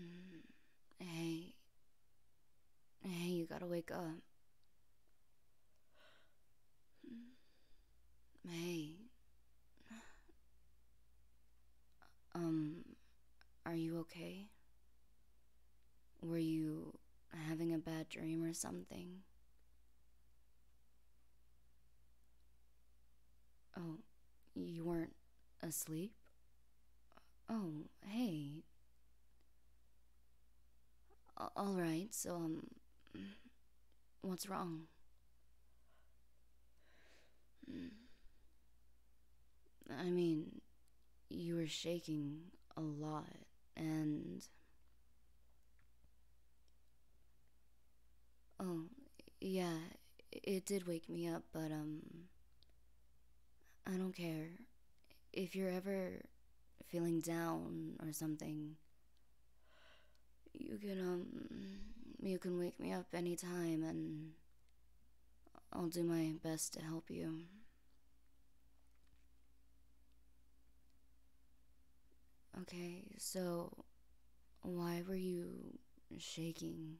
Mm. Hey. Hey, you gotta wake up. Mm. Hey. Um, are you okay? Were you having a bad dream or something? Oh, you weren't Asleep? Oh, hey. all right, so, um, what's wrong? I mean, you were shaking a lot, and. Oh, yeah, it did wake me up, but, um, I don't care. If you're ever feeling down or something, you can, um, you can wake me up anytime and I'll do my best to help you. Okay, so why were you shaking?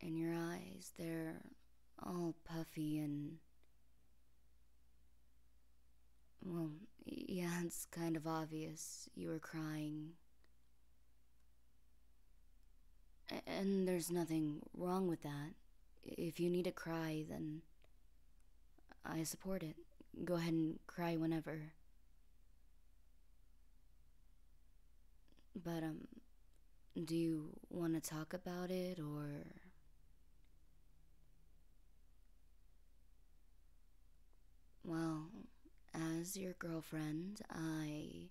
And your eyes, they're all puffy and. Well, yeah, it's kind of obvious you were crying. And there's nothing wrong with that. If you need to cry, then I support it. Go ahead and cry whenever. But, um, do you want to talk about it or. Well, as your girlfriend, I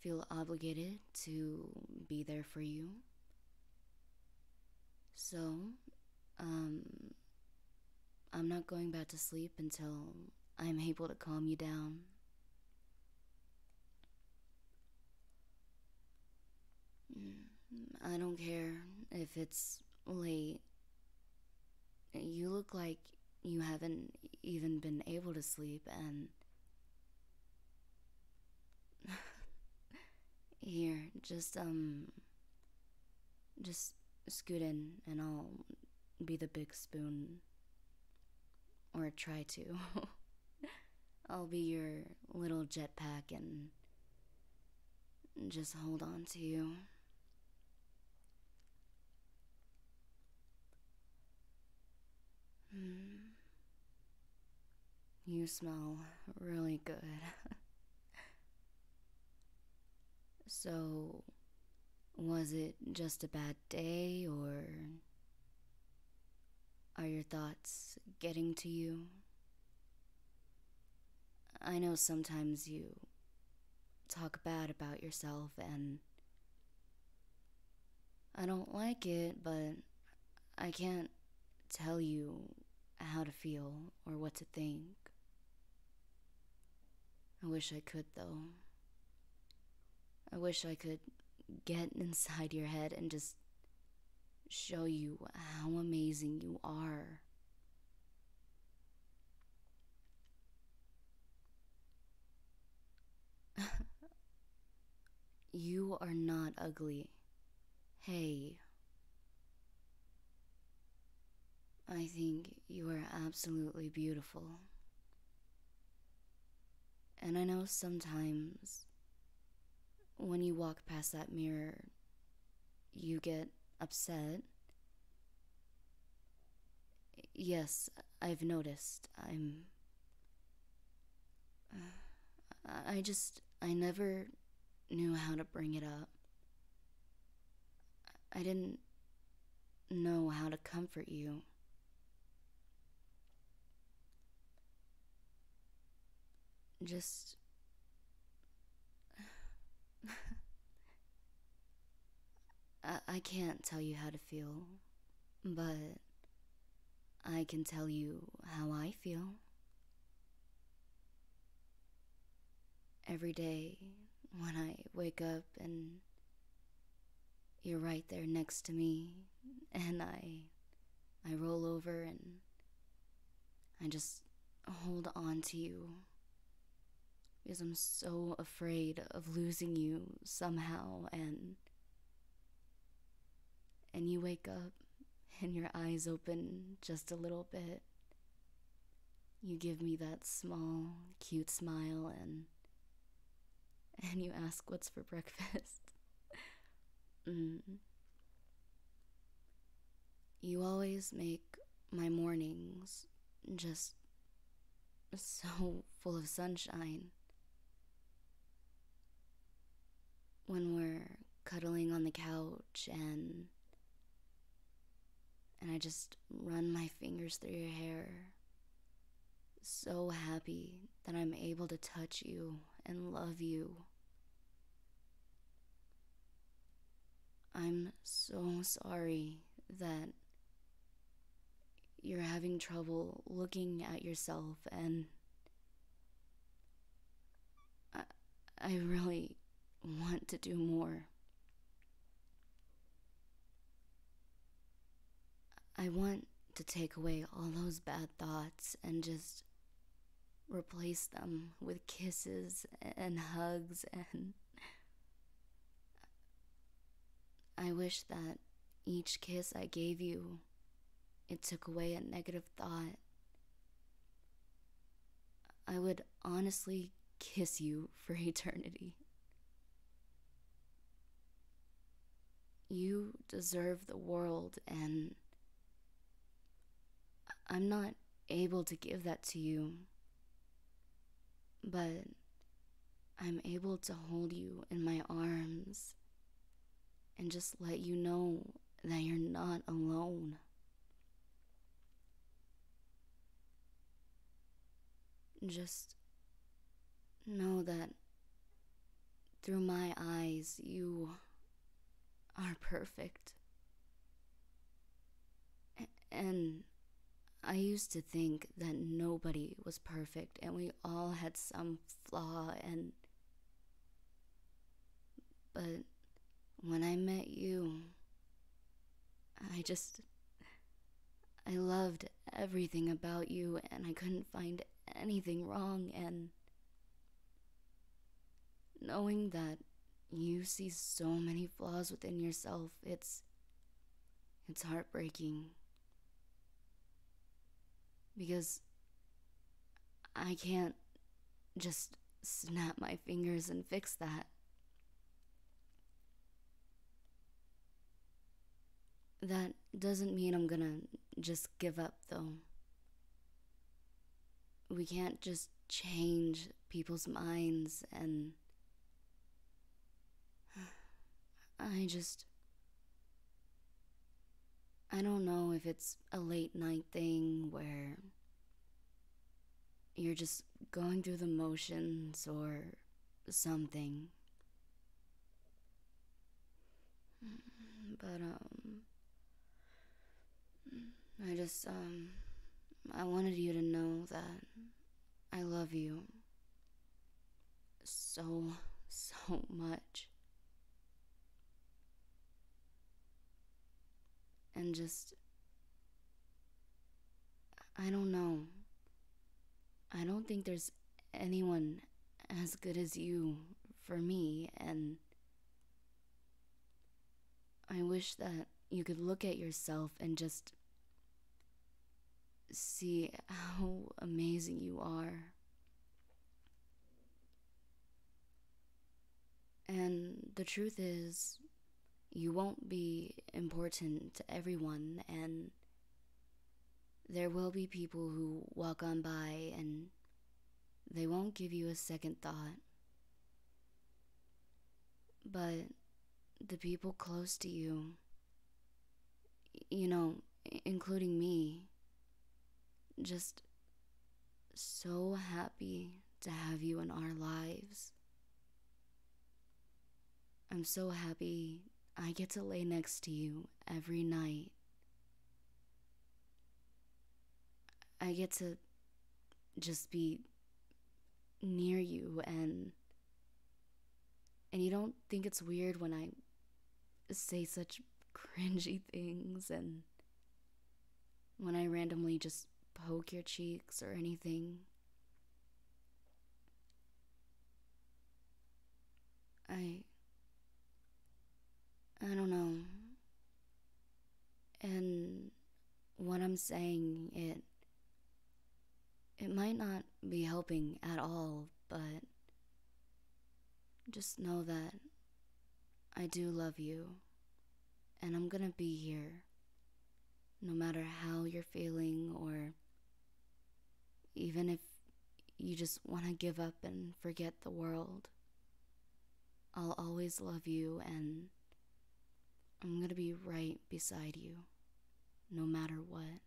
feel obligated to be there for you. So, um, I'm not going back to sleep until I'm able to calm you down. Mm, I don't care if it's late. You look like you haven't even been able to sleep, and. Here, just, um. Just scoot in and I'll be the big spoon. Or try to. I'll be your little jetpack and just hold on to you. Hmm. You smell really good. So, was it just a bad day, or are your thoughts getting to you? I know sometimes you talk bad about yourself, and I don't like it, but I can't tell you how to feel or what to think. I wish I could, though. I wish I could get inside your head and just show you how amazing you are. you are not ugly. Hey. I think you are absolutely beautiful. And I know sometimes when you walk past that mirror, you get upset. Yes, I've noticed. I'm. I just. I never knew how to bring it up. I didn't know how to comfort you. Just. I, can't tell you how to feel, but I can tell you how I feel. Every day when I wake up and you're right there next to me and I I roll over and I just hold on to you because I'm so afraid of losing you somehow and and you wake up and your eyes open just a little bit. You give me that small, cute smile and and you ask what's for breakfast. mm. You always make my mornings just so full of sunshine when we're cuddling on the couch and and I just run my fingers through your hair. So happy that I'm able to touch you and love you. I'm so sorry that you're having trouble looking at yourself and I, I really want to do more. I want to take away all those bad thoughts and just replace them with kisses and hugs and I wish that each kiss I gave you it took away a negative thought. I would honestly kiss you for eternity. You deserve the world, and I'm not able to give that to you, but I'm able to hold you in my arms and just let you know that you're not alone. Just know that through my eyes, you are perfect. And I used to think that nobody was perfect and we all had some flaw and but when I met you, I just. I loved everything about you, and I couldn't find anything wrong, and. Knowing that you see so many flaws within yourself, it's. It's heartbreaking. Because I can't just snap my fingers and fix that. That doesn't mean I'm gonna just give up, though. We can't just change people's minds and. I just. I don't know if it's a late night thing where you're just going through the motions or something. But, um, I just, um, I wanted you to know that I love you so, so much. And just. I don't know. I don't think there's anyone as good as you for me, and I wish that you could look at yourself and just see how amazing you are. And the truth is, you won't be important to everyone, and there will be people who walk on by and they won't give you a second thought. But the people close to you, you know, including me, just so happy to have you in our lives. I'm so happy I get to lay next to you every night. I get to just be near you and and you don't think it's weird when I say such cringy things and when I randomly just poke your cheeks or anything. I. I don't know. And what I'm saying, it. It might not be helping at all, but. Just know that I do love you, and I'm gonna be here no matter how you're feeling, or even if you just wanna give up and forget the world. I'll always love you, and I'm gonna be right beside you, no matter what.